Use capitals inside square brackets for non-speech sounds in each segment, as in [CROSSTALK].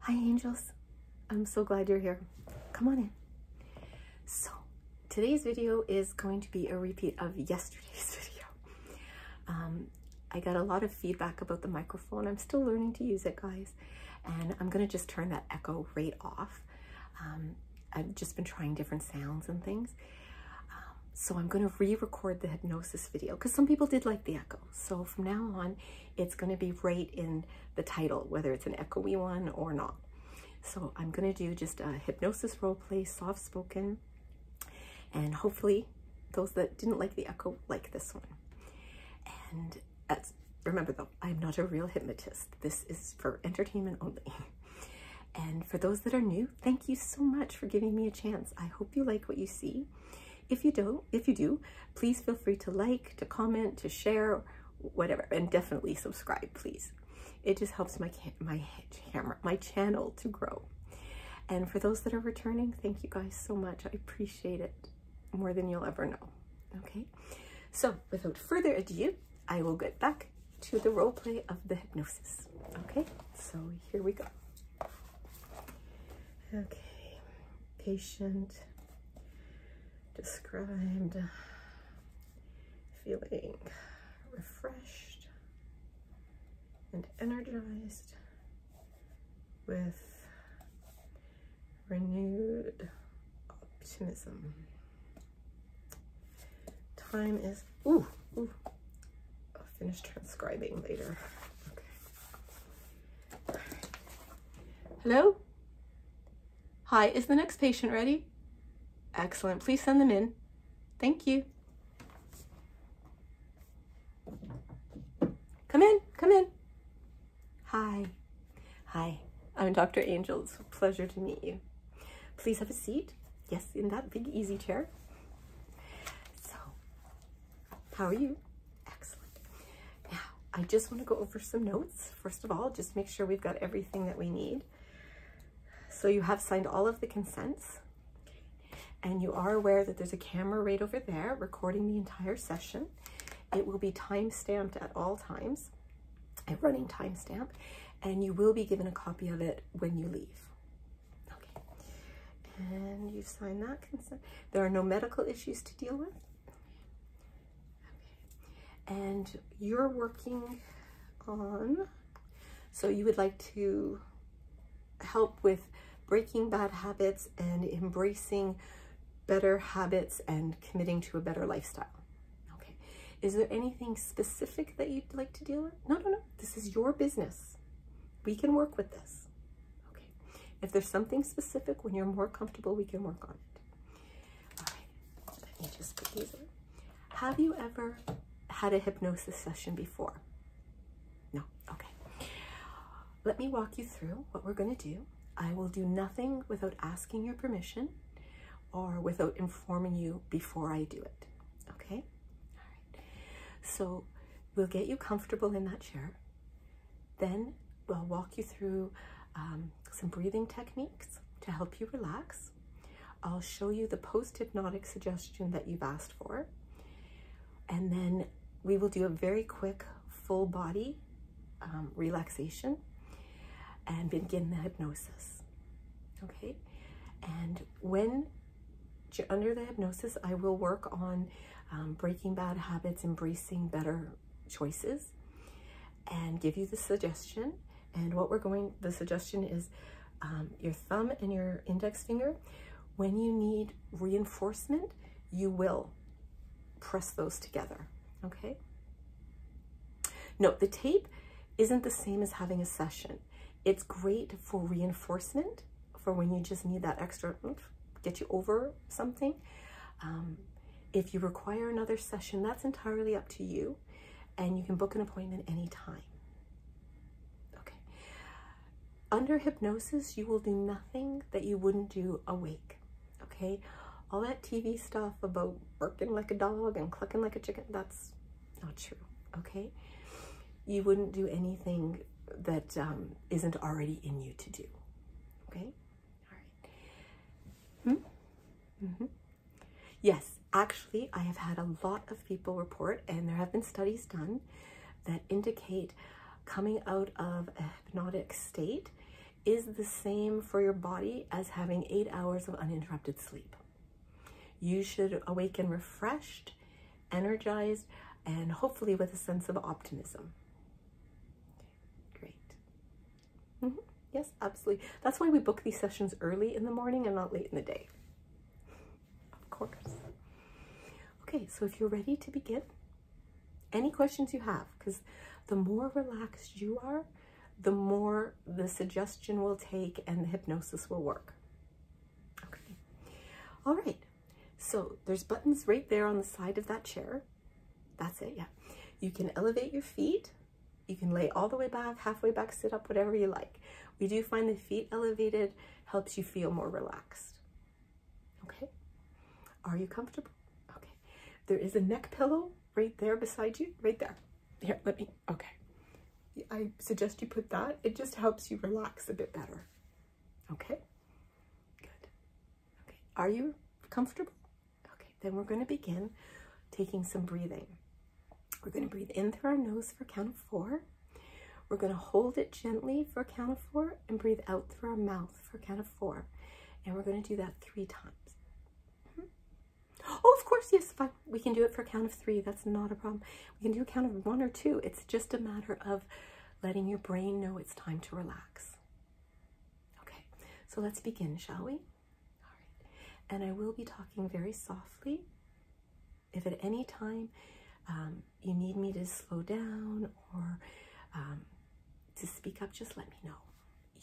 Hi, angels. I'm so glad you're here. Come on in. So, today's video is going to be a repeat of yesterday's [LAUGHS] video. Um, I got a lot of feedback about the microphone. I'm still learning to use it, guys. And I'm going to just turn that echo right off. Um, I've just been trying different sounds and things. Um, so I'm going to re-record the hypnosis video because some people did like the echo. So from now on, it's gonna be right in the title, whether it's an echoey one or not. So I'm gonna do just a hypnosis role play, soft spoken, and hopefully those that didn't like the echo like this one. And remember though, I'm not a real hypnotist. This is for entertainment only. And for those that are new, thank you so much for giving me a chance. I hope you like what you see. If you do, not if you do, please feel free to like, to comment, to share, whatever, and definitely subscribe, please. It just helps my my camera, my channel to grow. And for those that are returning, thank you guys so much. I appreciate it more than you'll ever know. Okay, so without further ado, I will get back to the role play of the hypnosis. Okay, so here we go. Okay, patient, described, feeling refreshed and energized with renewed optimism. Time is, ooh, ooh, I'll finish transcribing later. Okay. Hello? Hi, is the next patient ready? Excellent, please send them in. Thank you. Come in, come in. Hi. Hi, I'm Dr. Angel. It's a pleasure to meet you. Please have a seat. Yes, in that big easy chair. So, how are you? Excellent. Now, I just want to go over some notes. First of all, just make sure we've got everything that we need. So you have signed all of the consents and you are aware that there's a camera right over there recording the entire session. It will be time stamped at all times, a running time stamp, and you will be given a copy of it when you leave. Okay, and you've signed that consent. There are no medical issues to deal with. And you're working on, so you would like to help with breaking bad habits and embracing better habits and committing to a better lifestyle. Okay. Is there anything specific that you'd like to deal with? No, no, no. This is your business. We can work with this. If there's something specific when you're more comfortable, we can work on it. Let me just put these away. Have you ever had a hypnosis session before? No. Okay. Let me walk you through what we're going to do. I will do nothing without asking your permission or without informing you before I do it. Okay? All right. So we'll get you comfortable in that chair. Then we'll walk you through um, some breathing techniques to help you relax. I'll show you the post-hypnotic suggestion that you've asked for. And then we will do a very quick full body um, relaxation and begin the hypnosis. Okay. And when under the hypnosis, I will work on um, breaking bad habits, embracing better choices and give you the suggestion. And what we're going, the suggestion is um, your thumb and your index finger. When you need reinforcement, you will press those together, okay? Note the tape isn't the same as having a session. It's great for reinforcement, for when you just need that extra oomph, get you over something. Um, if you require another session, that's entirely up to you, and you can book an appointment anytime. Okay. Under hypnosis, you will do nothing that you wouldn't do awake. Okay. All that TV stuff about barking like a dog and clucking like a chicken, that's not true. Okay. You wouldn't do anything that um, not already in you to do. Okay. All right. Hmm? Mm -hmm. Yes, actually, I have had a lot of people report, and there have been studies done that indicate coming out of a hypnotic state is the same for your body as having eight hours of uninterrupted sleep. You should awaken refreshed, energized, and hopefully with a sense of optimism. Great. Mm-hmm. Yes, absolutely. That's why we book these sessions early in the morning and not late in the day. Of course. Okay, so if you're ready to begin, any questions you have, because the more relaxed you are, the more the suggestion will take and the hypnosis will work. Okay. All right. So there's buttons right there on the side of that chair. That's it, yeah. You can elevate your feet. You can lay all the way back, halfway back, sit up, whatever you like. We do find the feet elevated helps you feel more relaxed. Okay? Are you comfortable? Okay. There is a neck pillow right there beside you, right there. Here, let me, okay. I suggest you put that. It just helps you relax a bit better. Okay? Good. Okay, are you comfortable? Okay, then we're going to begin taking some breathing. We're going to breathe in through our nose for a count of four. We're going to hold it gently for a count of four and breathe out through our mouth for a count of four. And we're going to do that three times. Mm-hmm. Oh, of course, yes, fine. We can do it for a count of three. That's not a problem. We can do a count of one or two. It's just a matter of letting your brain know it's time to relax. Okay, so let's begin, shall we? All right. And I will be talking very softly. If at any time um, you need me to slow down or um, to speak up, just let me know.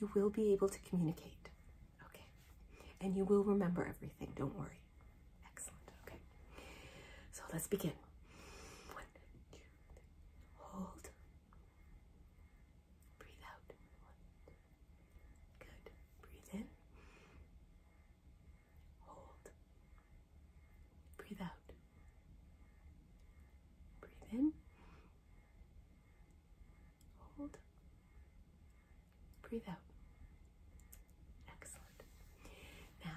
You will be able to communicate. Okay. And you will remember everything, don't worry. Excellent. Okay. So let's begin. One, two, three. Hold. Breathe out. Good. Breathe in. Hold. Breathe out. Breathe in. Hold. Breathe out. Excellent. Now,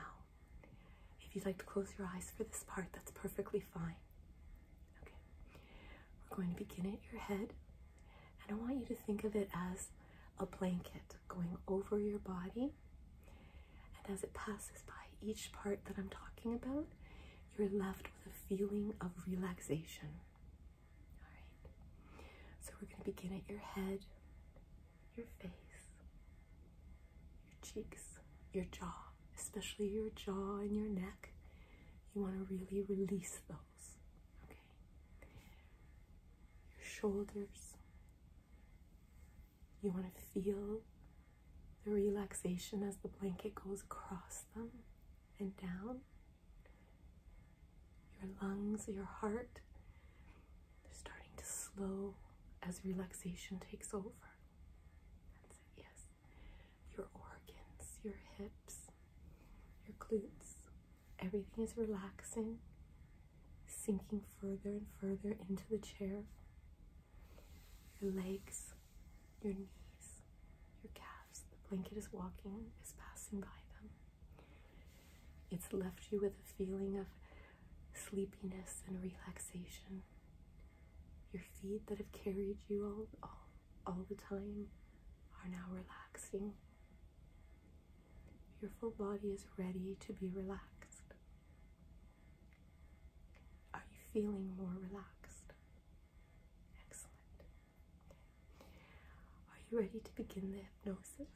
if you'd like to close your eyes for this part, that's perfectly fine. Okay, we're going to begin at your head, and I want you to think of it as a blanket going over your body. And as it passes by each part that I'm talking about, you're left with a feeling of relaxation. All right, so we're going to begin at your head, your face, cheeks, your jaw, especially your jaw and your neck. You want to really release those. Okay. Your shoulders. You want to feel the relaxation as the blanket goes across them and down. Your lungs, your heart, they're starting to slow as relaxation takes over yes. Your organs, your hips, your glutes, everything is relaxing, sinking further and further into the chair. Your legs, your knees, your calves, the blanket is walking, is passing by them. It's left you with a feeling of sleepiness and relaxation. Your feet that have carried you all, all, the time are now relaxing. Your full body is ready to be relaxed. Are you feeling more relaxed? Excellent. Are you ready to begin the hypnosis?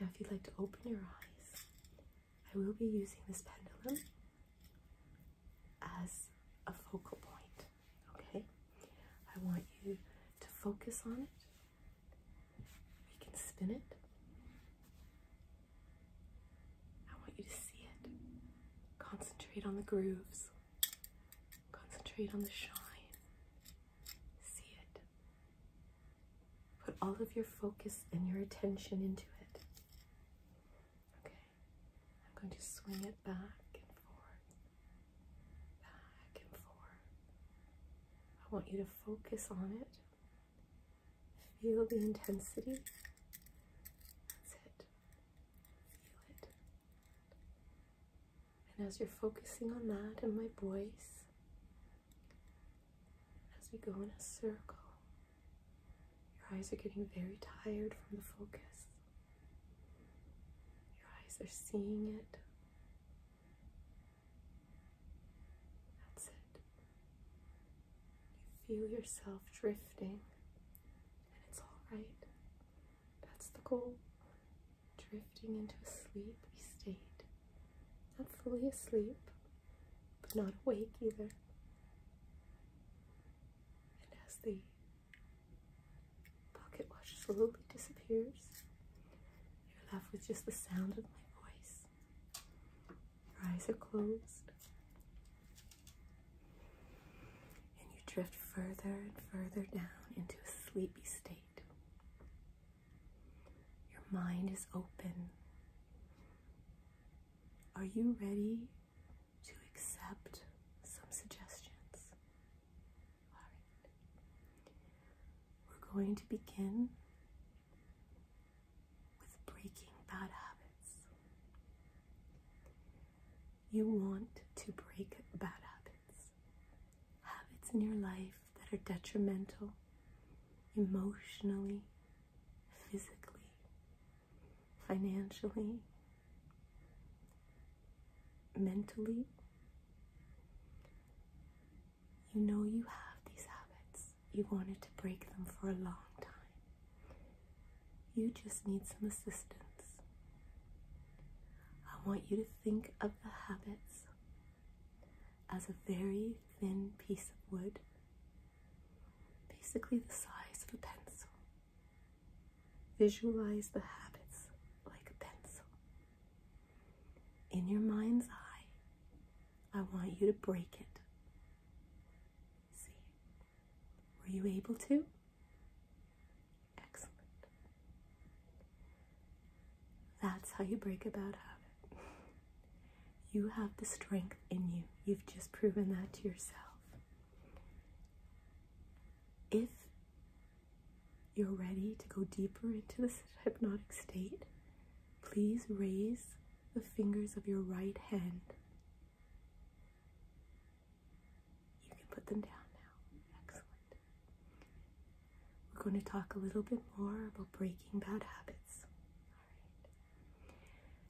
Now, if you'd like to open your eyes, I will be using this pendulum as a focal point. Okay? I want you to focus on it. We can spin it. I want you to see it. Concentrate on the grooves. Concentrate on the shine. See it. Put all of your focus and your attention into it. Okay, I'm going to swing it back and forth, back and forth. I want you to focus on it, feel the intensity. That's it. Feel it. And as you're focusing on that and my voice, as we go in a circle, your eyes are getting very tired from the focus. Your eyes are seeing it. That's it. You feel yourself drifting, and it's alright. That's the goal. Drifting into a sleepy state. Not fully asleep, but not awake either. And as the pocket watch slowly disappears, you're left with just the sound of my voice. Your eyes are closed. And you drift further and further down into a sleepy state. Your mind is open. Are you ready to accept some suggestions? right. We're going to begin with breaking bad habits. You want to break bad habits, habits in your life that are detrimental emotionally, physically, financially, mentally. You know you have these habits. You wanted to break them for a long time. You just need some assistance. I want you to think of the habits as a very thin piece of wood basically the size of a pencil. Visualize the habits like a pencil. In your mind's eye, I want you to break it. See? Were you able to? Excellent. That's how you break a bad habit. You have the strength in you. You've just proven that to yourself. If you're ready to go deeper into this [LAUGHS] hypnotic state, please raise the fingers of your right hand. You can put them down now. Excellent. We're going to talk a little bit more about breaking bad habits. All right.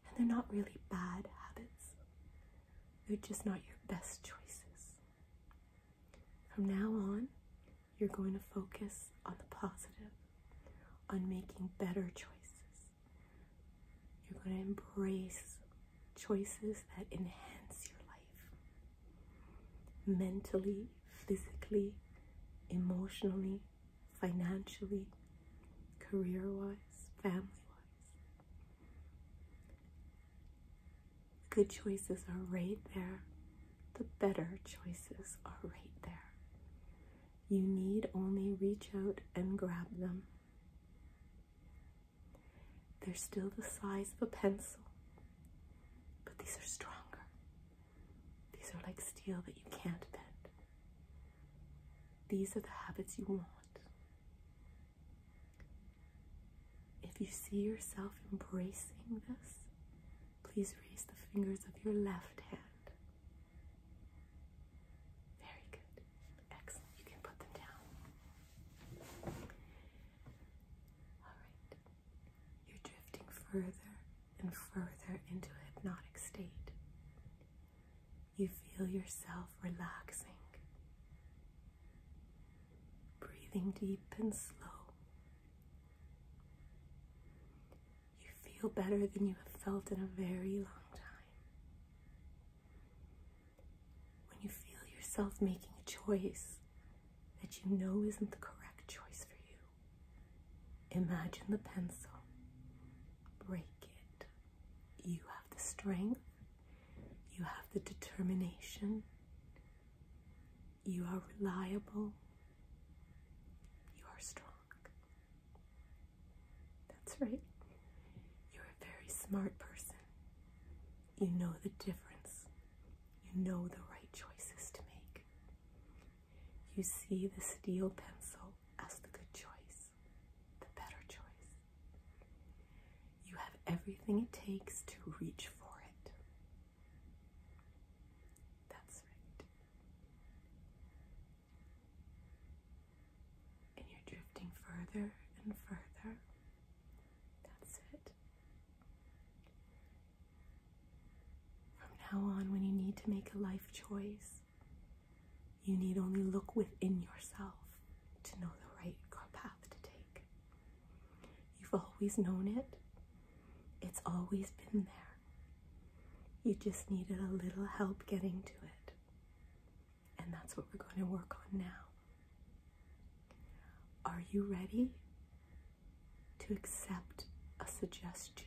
And they're not really bad habits, they're just not your best choices. From now on, you're going to focus on the positive, on making better choices. You're going to embrace choices that enhance your life mentally, physically, emotionally, financially, career wise, family wise. The good choices are right there, the better choices are right there. You need only reach out and grab them. They're still the size of a pencil, but these are stronger. These are like steel that you can't bend. These are the habits you want. If you see yourself embracing this, please raise the fingers of your left hand. Very good. Excellent. You can put them down. Alright. You're drifting further and further into a hypnotic state you feel yourself relaxing, breathing deep and slow. You feel better than you have felt in a very long time. When you feel yourself making a choice that you know isn't the correct choice for you, imagine the pencil. Break it. You have the strength, you have the determination, you are reliable, you are strong. That's right. You're a very smart person. You know the difference. You know the right choices to make. You see the steel pencil as the good choice the better choice. You have everything it takes to reach for it. That's right. And you're drifting further and further. That's it. From now on, when you need to make a life choice, you need only look within yourself to know the right path to take. You've always known it, it's always been there. You just needed a little help getting to it. And that's what we're going to work on now. Are you ready to accept a suggestion?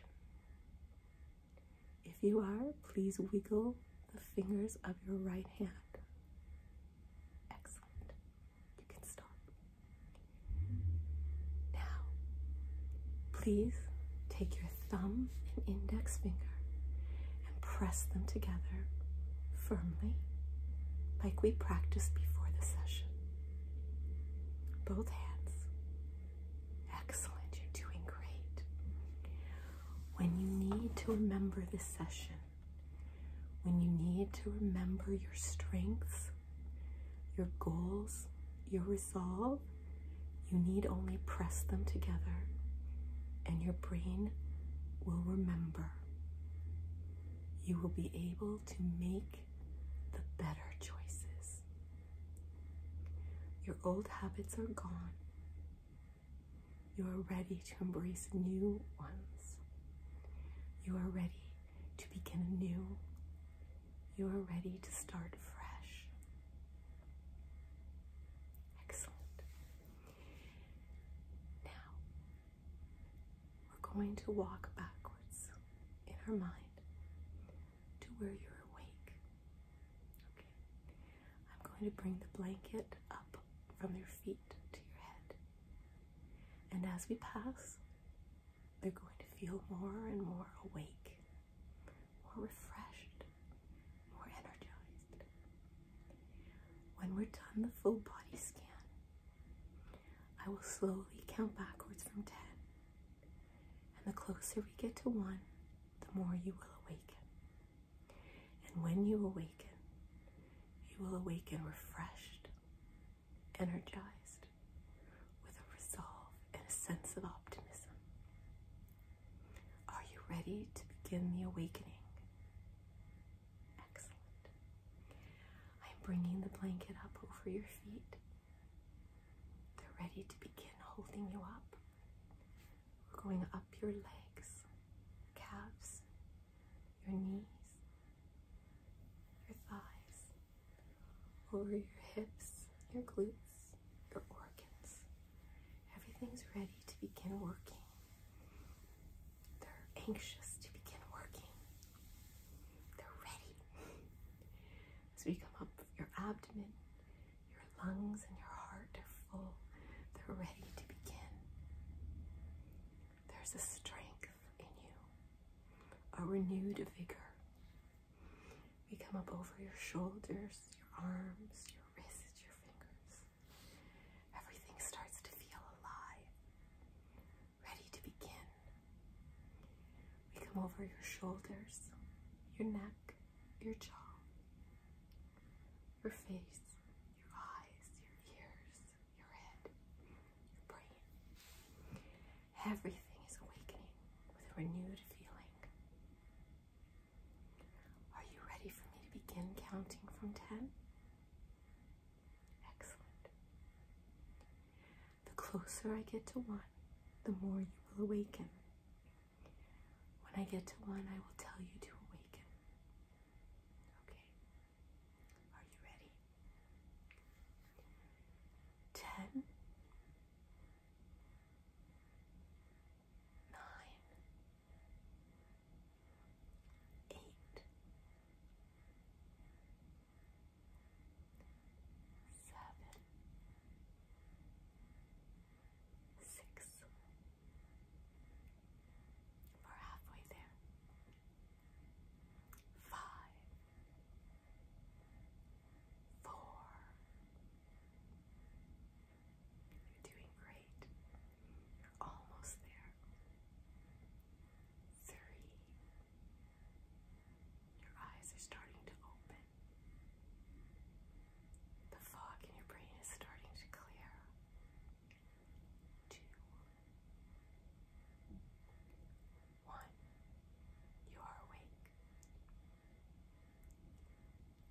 If you are, please wiggle the fingers of your right hand. Excellent. You can stop. Now, please take your thumb and index finger and press them together firmly, like we practiced before the session. Both hands. Excellent. You're doing great when you need to remember the session, when you need to remember your strengths, your goals, your resolve, you need only press them together and your brain will remember. You will be able to make the better choices. Your old habits are gone. You are ready to embrace new ones. You are ready to begin anew. You are ready to start fresh. Excellent. Now, we're going to walk backwards in our mind to where you're awake I'm going to bring the blanket up from your feet to your head. And as we pass, they're going to feel more and more awake, more refreshed, more energized. When we're done the full body scan, I will slowly count backwards from 10. And the closer we get to 1, the more you will awaken. And when you awaken, you will awaken refreshed, energized, with a resolve and a sense of optimism. Are you ready to begin the awakening? Excellent. I'm bringing the blanket up over your feet. They're ready to begin holding you up going up your legs, calves, your knees, your thighs, over your hips, your glutes, your organs. Everything's ready to begin working. They're anxious to begin working. They're ready. As we come up your abdomen, your lungs and your heart are full. They're ready to begin. There's a strength in you, a renewed vigor. We come up over your shoulders, your arms, your wrists, your fingers. Everything starts to feel alive, ready to begin. We come over your shoulders, your neck, your jaw, your face, your eyes, your ears, your head, your brain. Everything is awakening with a renewed feeling. Are you ready for me to begin counting from 10? Excellent. The closer I get to one, the more you will awaken. When I get to one, I will tell you to awaken. Okay? Are you ready? Ten. Nine. Eight. Seven. Six. We're halfway there. Five, four. You're doing great. You're almost there. Three. Your eyes are starting to open. The fog in your brain is starting to clear two, one. You are awake.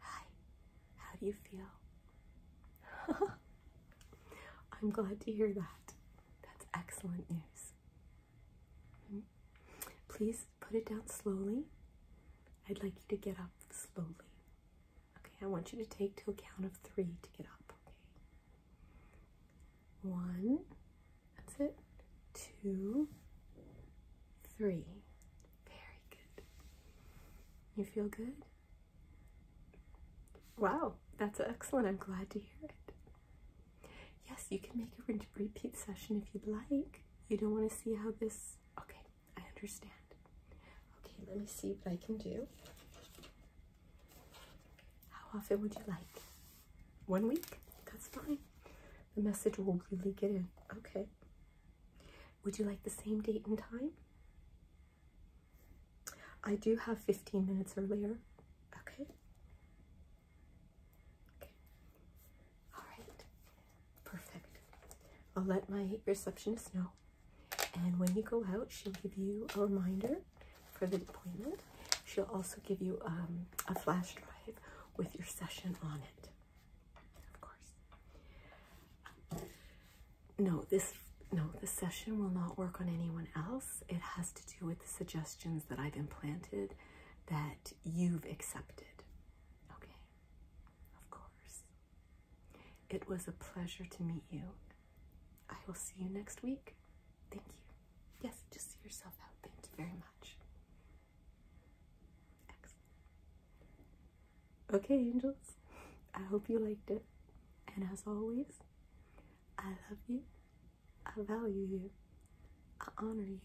Hi, how do you feel? [LAUGHS] I'm glad to hear that. That's excellent news. Please put it down slowly. I'd like you to get up slowly. Okay, I want you to take to a count of three to get up. Okay. One, that's it. Two, three. Very good. You feel good? Wow, that's excellent. I'm glad to hear it. Yes, you can make a repeat session if you'd like. You don't want to see how this. Okay, I understand. Okay, let me see what I can do. How often would you like? One week? That's fine. The message will really get in. Okay. Would you like the same date and time? I do have 15 minutes earlier. Okay. Okay. All right. Perfect. I'll let my receptionist know and when you go out, she'll give you a reminder for the appointment. She'll also give you um, a flash drive with your session on it. Of course. No, this no, the session will not work on anyone else. It has to do with the suggestions that I've implanted that you've accepted. Okay. Of course. It was a pleasure to meet you. I will see you next week. Thank you. Yes, just see yourself out. Thank you very much. Excellent. Okay, angels. I hope you liked it. And as always, I love you. I value you. I honor you.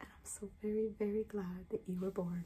And I'm so very, very glad that you were born.